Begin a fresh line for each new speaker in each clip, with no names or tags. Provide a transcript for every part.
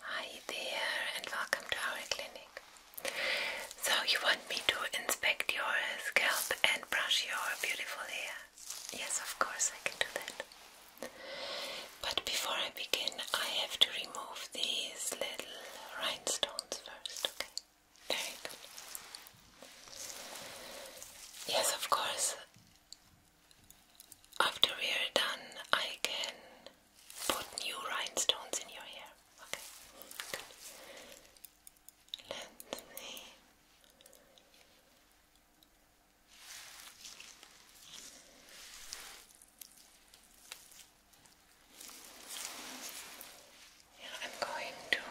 Hi there and welcome to our clinic. So you want me to inspect your scalp and brush your beautiful hair? Yes, of course I can do that. But before I begin, I have to remove these little rhinestones first, okay? Very good. Yes, of course. After we are done, I can put new rhinestones in your hair. Okay, good. Let me. Yeah, I'm going to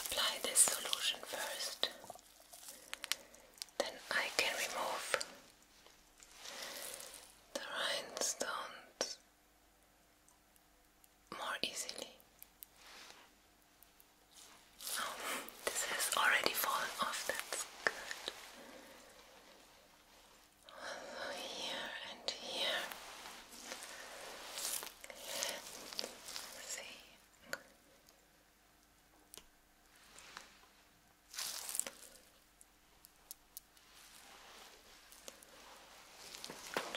apply this solution first. Then I can remove the rhinestones more easily. Oh, this has already fallen off, that's good. here and here. see.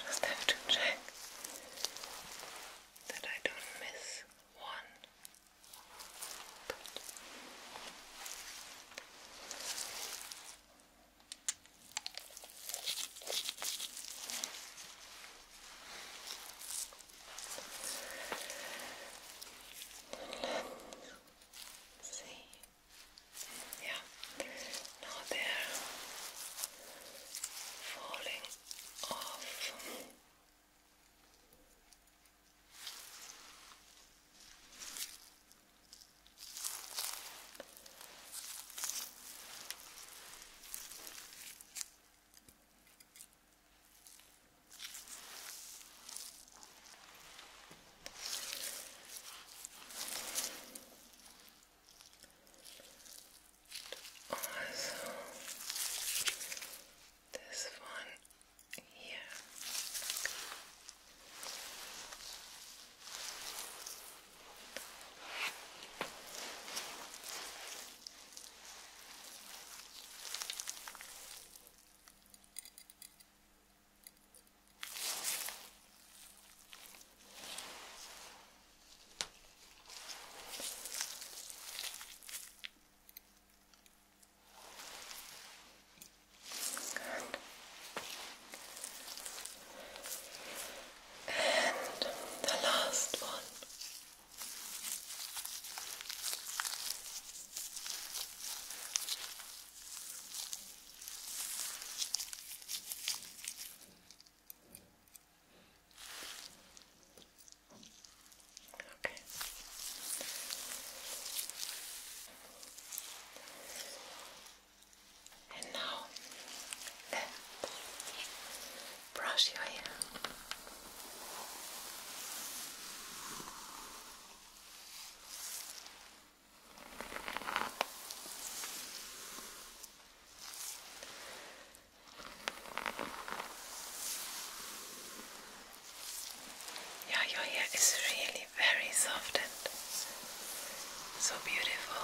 Just have to check that I don't miss one see. Yeah, now they're falling off. Also, this one here. Good. And the last one. Okay. And now, then brush your hair. Yeah, your hair is really very soft and so beautiful.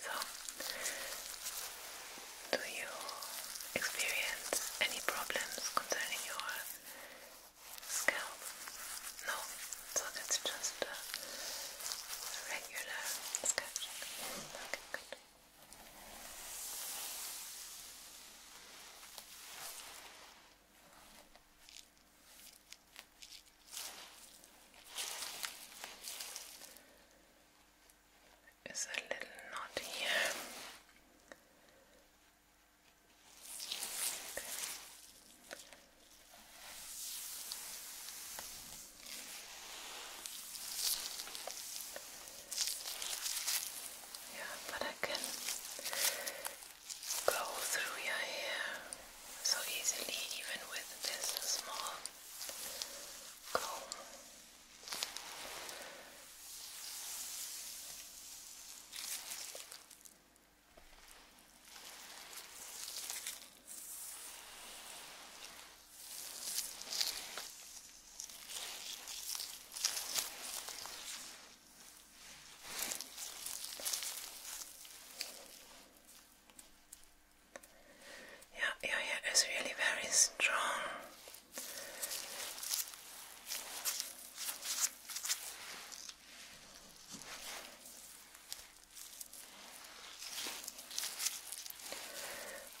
So, do you experience any problems concerning your scalp? No, so it's just a regular sketch. Okay, a little knot here. Yeah, but I can go through your hair so easily, even with this small comb. Yeah, yeah, yeah. It's really very strong.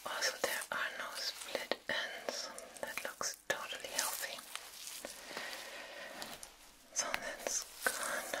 Also, there are no split ends. That looks totally healthy. So that's good.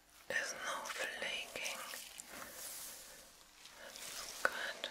There's no flaking. That's good.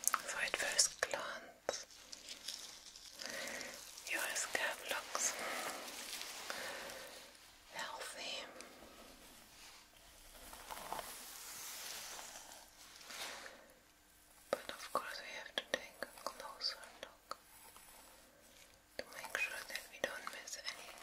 For at first glance, your scalp looks healthy but of course, we have to take a closer look to make sure that we don't miss anything.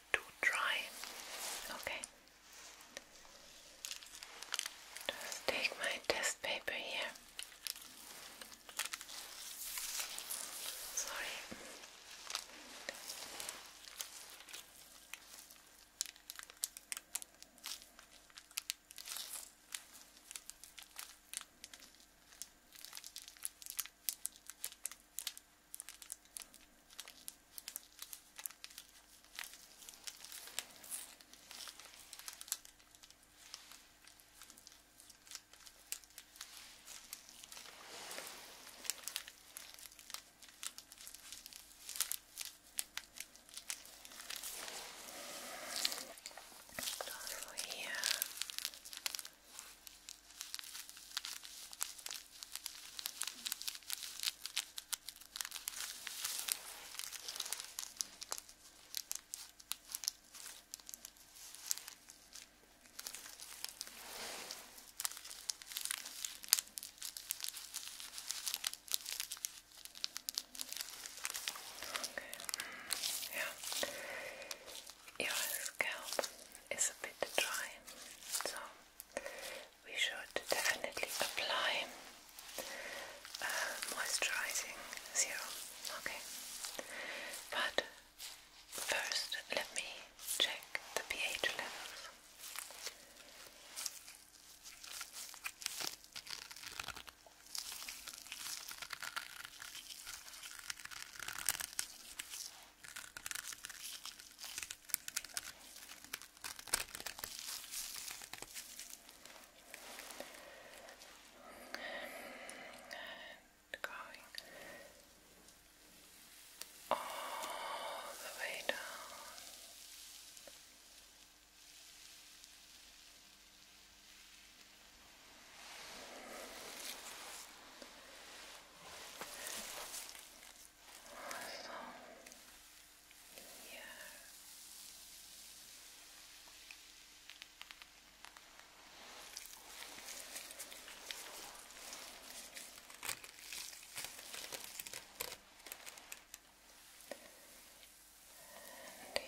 too dry. Okay. Just take my test paper here. Sorry. And also here Okay. Mm. Yeah. Your scalp is a bit dry, so we should definitely apply uh, moisturizing zero. Okay, but first let me check the pH levels. And going all the way down also here. And here.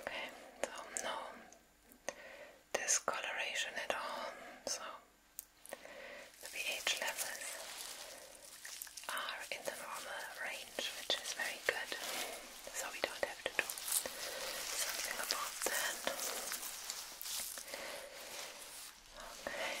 Okay, so no discoloration at all, so the pH levels are in the normal range, which is very good, so we don't have to do something about that. Okay.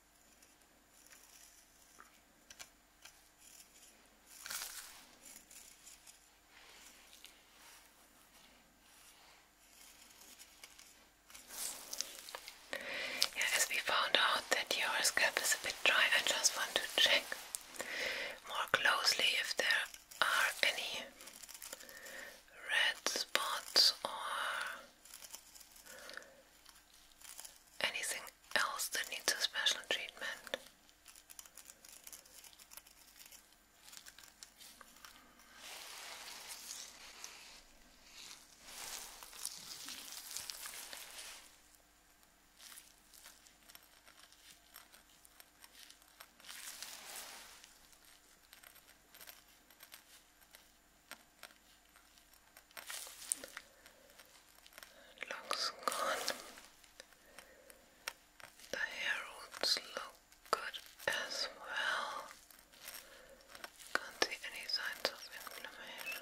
as we found out that your scalp is a bit dry, I just want to check more closely if there are any red spots or Anything else that needs a special treatment? Looks good. The hair roots good as well. Can't see any signs of inflammation.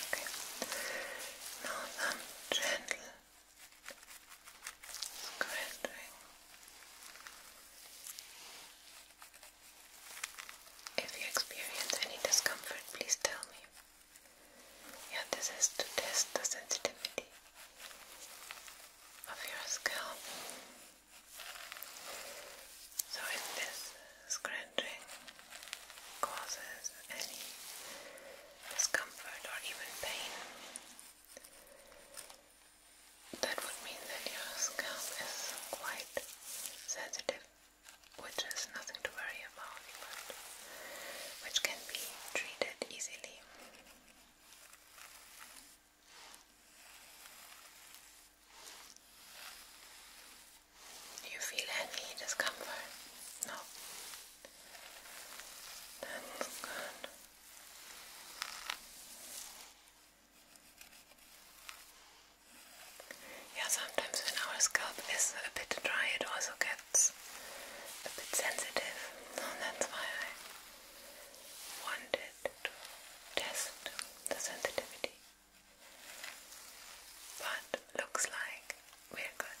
Okay. Now some um, gentle Scratching. If you experience any discomfort, please tell me. Yeah, this is to test the sensitivity of your scalp. So, if this scratching causes any discomfort or even pain, that would mean that your scalp is quite sensitive, which is nothing to worry about, but which can be treated easily. you feel any discomfort? No. That's good. Yeah, sometimes when our scalp is a bit dry, it also gets a bit sensitive, so that's why I wanted to test the sensitivity. But looks like we're good.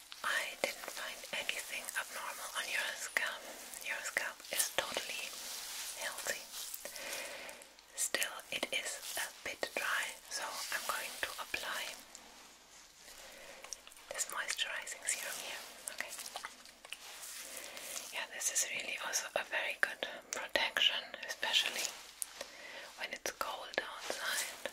I didn't find anything abnormal on your scalp. Your scalp is totally healthy. Still, it is a bit dry, so I'm going to apply this moisturizing serum here. Yeah, this is really also a very good protection, especially when it's cold outside.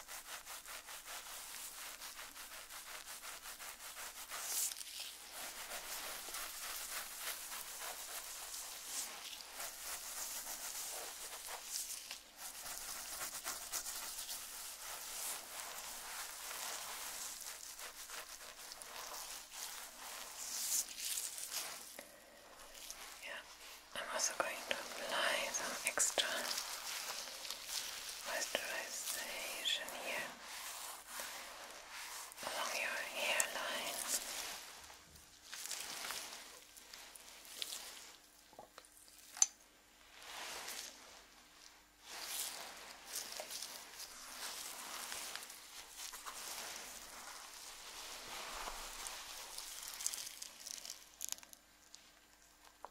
Yeah, I'm also going to apply some extra moisturization here along your hairline. Okay.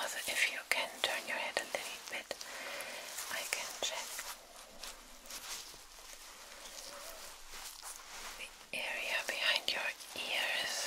Also, if you can turn your head a little bit, I can check the area behind your ears.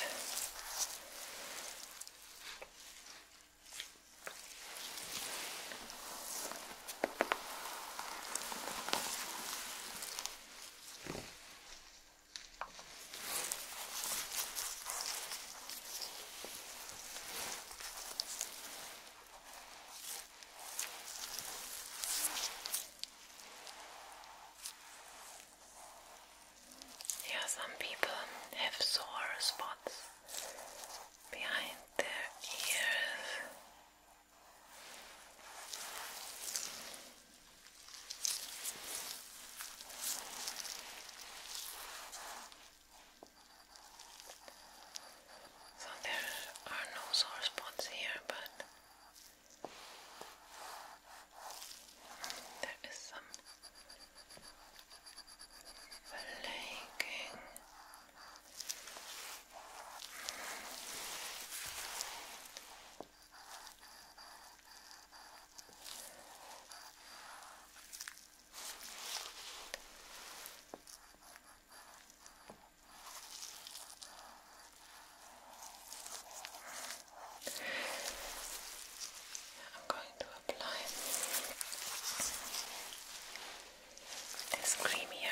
Yeah, some people have sore spots behind their ears. So there are no sore spots here, but there is some flaking. I'm going to apply this cream here.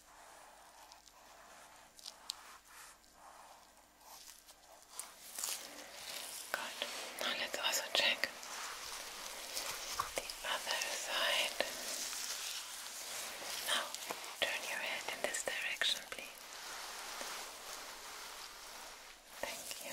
Good. let's also check the other side. Now turn your head in this direction, please. Thank you.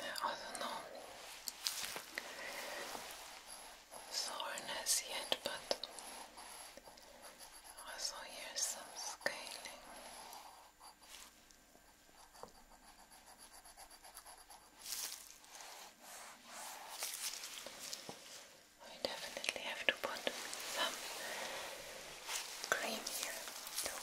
I don't know soreness yet, but also here's some scaling. We definitely have to put some cream here too.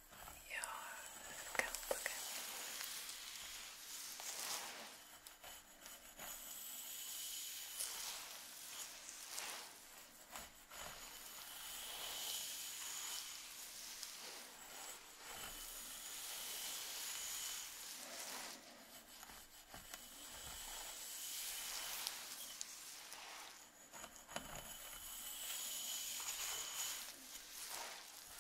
your scalp again. Good.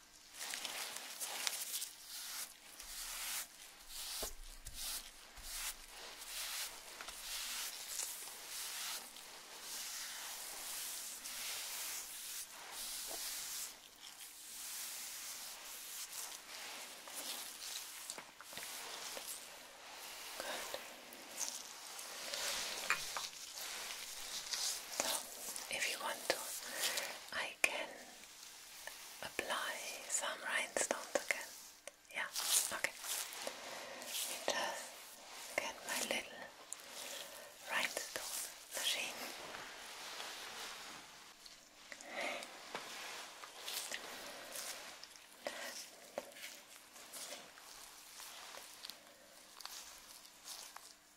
Good. So, if you want to, I can apply some rhinestones again. Yeah, okay. Let me get my little rhinestone machine.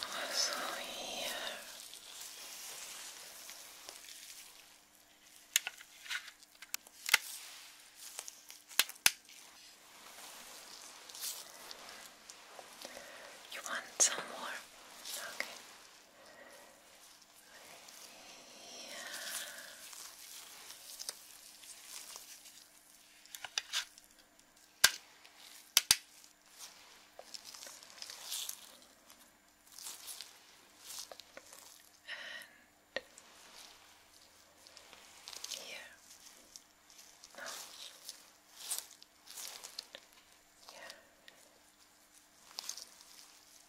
Also here. You want some more? Okay here. No. Yeah.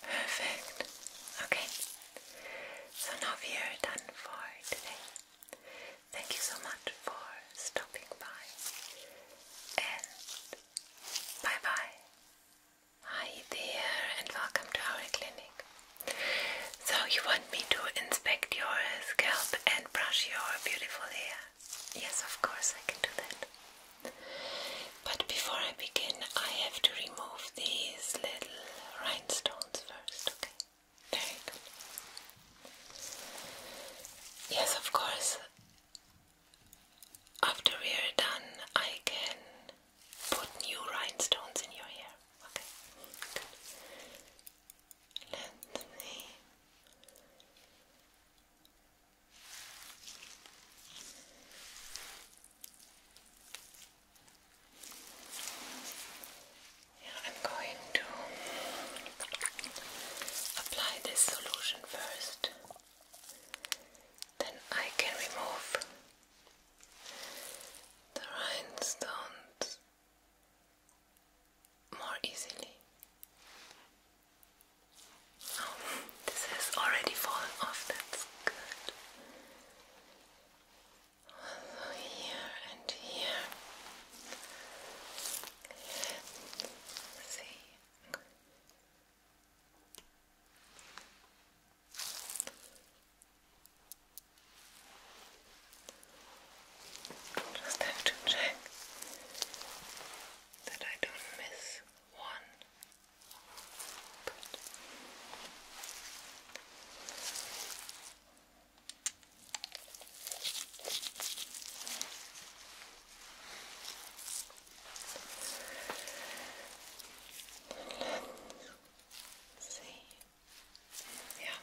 Perfect. Okay. So now we are done for today. Thank you so much for stopping by. And bye bye. Hi there and welcome to our clinic. So you me to inspect your scalp and brush your beautiful hair? Yes, of course, I can do that. But before I begin, I have to remove these little rhinestones first, okay? Very good. Yes, of course. After we are done, I can put new rhinestones in your hair. Okay. Good. Let me I'm going to apply this solution first, then I can remove the rhinestones more easily. Oh, this has already fallen off, that's good. Also here and here. Let's see. Just have to check that I don't miss one. see. Yeah,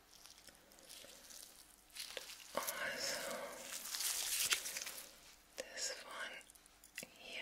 And also this one here.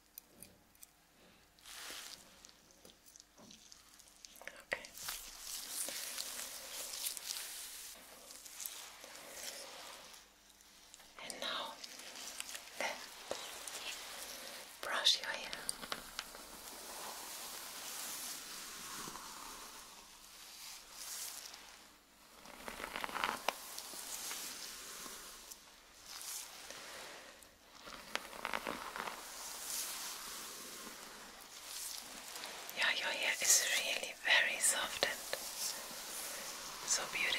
Okay. And now then brush your hair. Yeah, your hair is really very soft and so beautiful.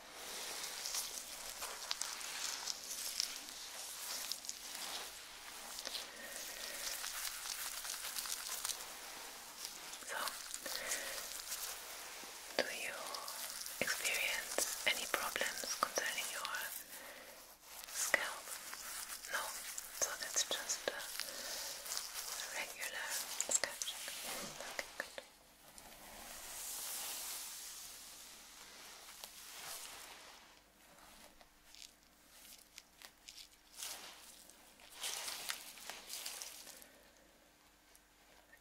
So, do you experience any problems concerning your scalp? No, so that's just a regular scalp Okay, good.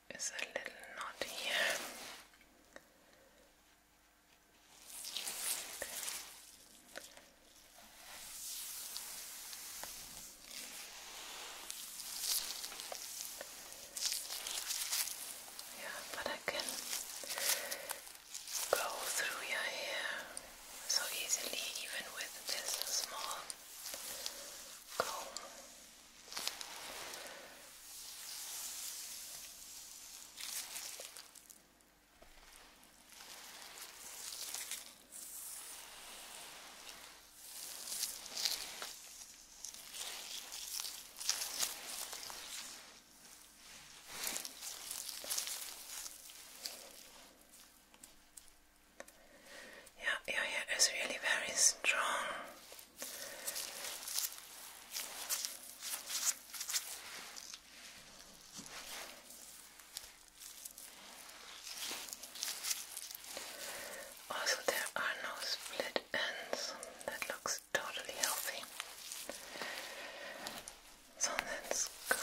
It's a little knot here. Okay. Yeah, but I can go through your hair so easily, even with this small comb. Yeah, yeah, yeah. It's really very strong. Also, there are no split ends. That looks looks totally healthy. So that's gone.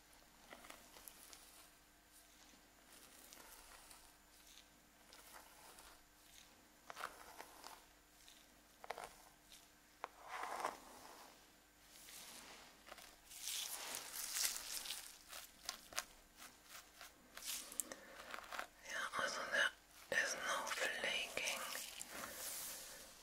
Yeah, also there is no flaking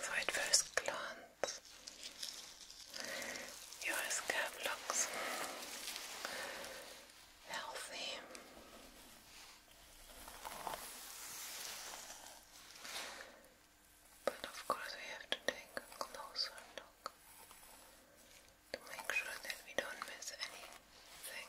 So at first glance, your scalp looks healthy. But of course, we have to take a closer look to make sure that we don't miss anything.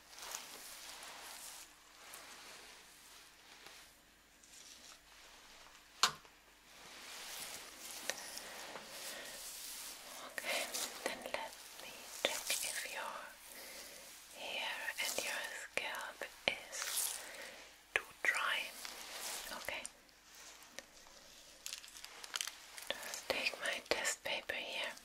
Okay, then let me check if your hair and your scalp is too dry. Okay. Just take my test paper here.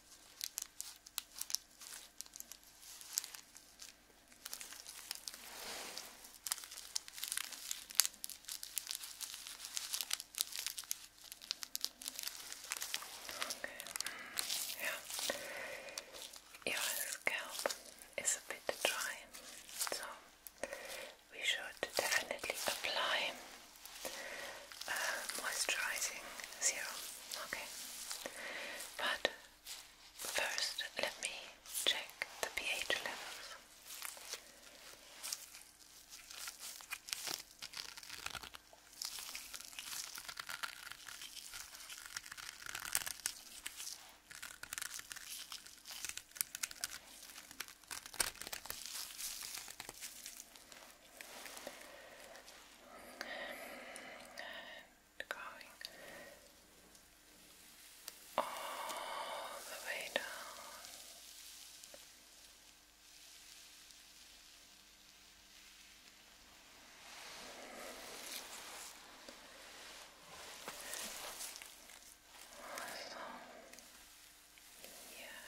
Okay. Yeah. Your scalp is a bit dry, so we should definitely apply uh, moisturizing serum. Okay, but first let me check the pH levels and going all the way down. So, yeah.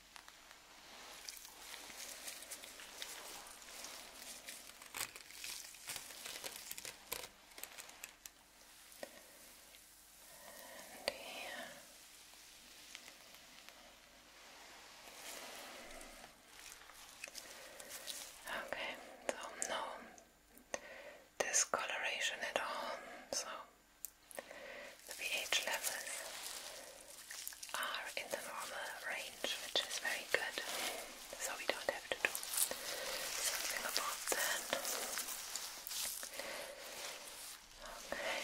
And here. Okay, so no discoloration at all, so the pH levels are in the normal range, which is very good, so we don't have to do something about that. Okay.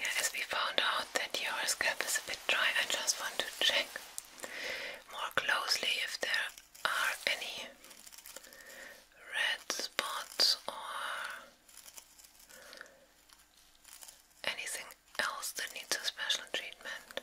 Yeah, as we found that your scalp is a bit dry, I just want to check more closely if there are any red spots or anything else that needs a special treatment.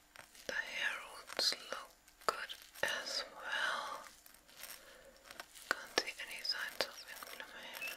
The heralds look good as well. Can't see any signs of inflammation.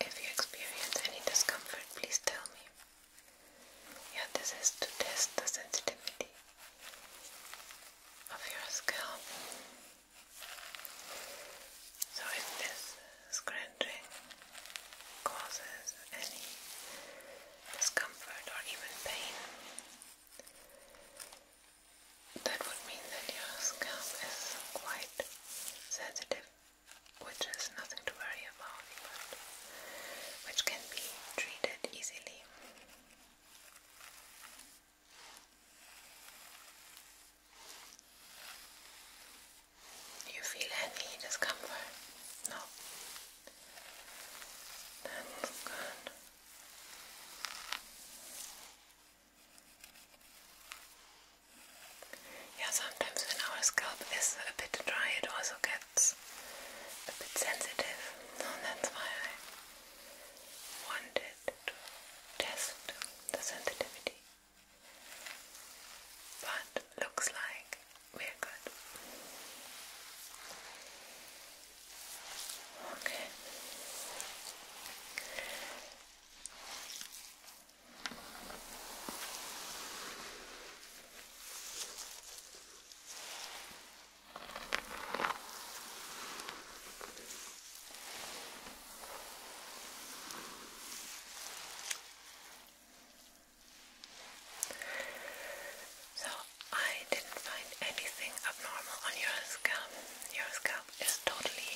If you experience any discomfort, please tell me. Yeah, this is to test the sensitivity of your scalp. So if this scratching causes any discomfort or even pain, that would mean that your scalp is quite sensitive which is nothing to worry about, but which can be treated easily. you feel any discomfort? No. That's good. Yeah, sometimes when our scalp is a bit dry, it also gets a bit sensitive. So that's why I wanted to test the sensitivity. But looks like we're good. Okay. So, I didn't find anything abnormal on your scalp. Your scalp is totally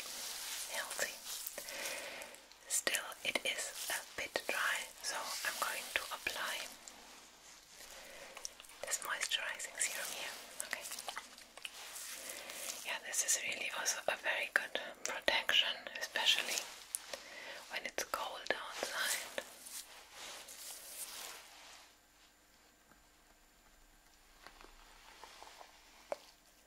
healthy. Still, it is a bit dry, so I'm going to apply this moisturizing serum here. Okay. Yeah, this is really also a very good protection, especially when it's cold outside.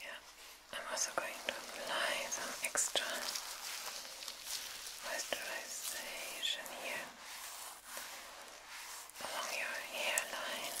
Yeah, I'm also going to apply some extra moisturization here along your hairline.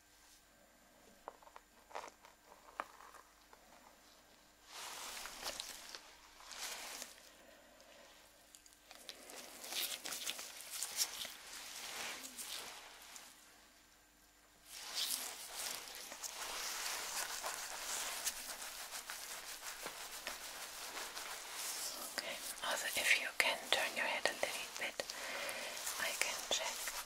Okay, also if you can turn your head a little bit, I can check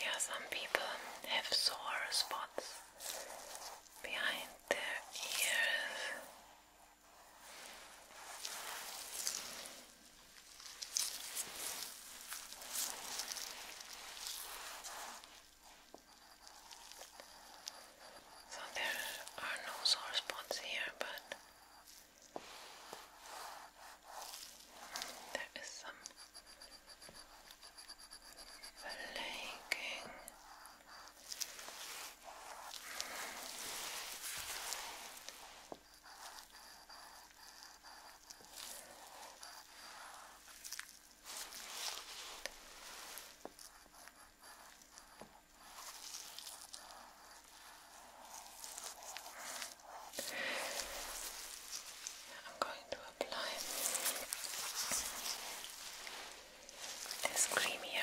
Yeah, some people have sore spots behind their ears. So there are no sore spots here, but there is some flaking. I'm going to apply this cream here.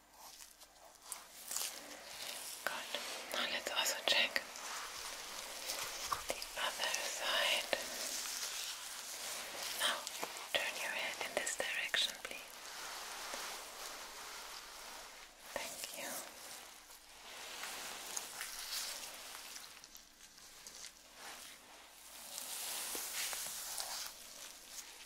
Now let's also check the other side. Now turn your head in this direction, please. Thank you.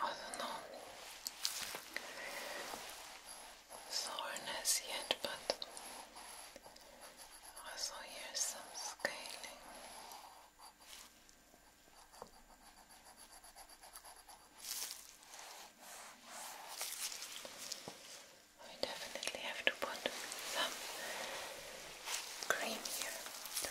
I don't know soreness yet, but also here's some scaling we definitely have to put some cream here too.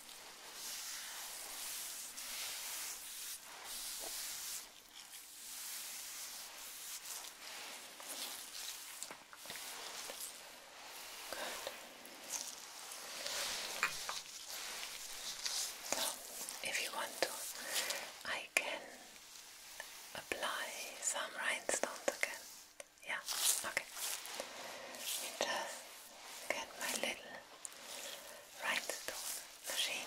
So, if you want to, I can apply some rhinestones again. Yeah, okay. Let me just get my little rhinestone machine.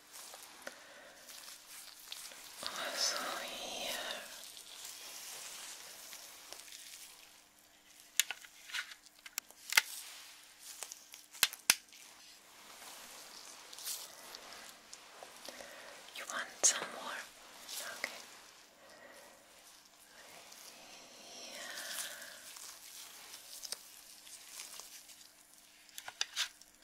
Also here. You want some more? Okay. Yeah.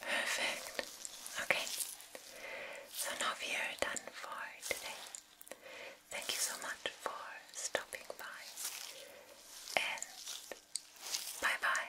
Perfect. Okay. So now we are done for today. Thank you so much for stopping by. And bye bye.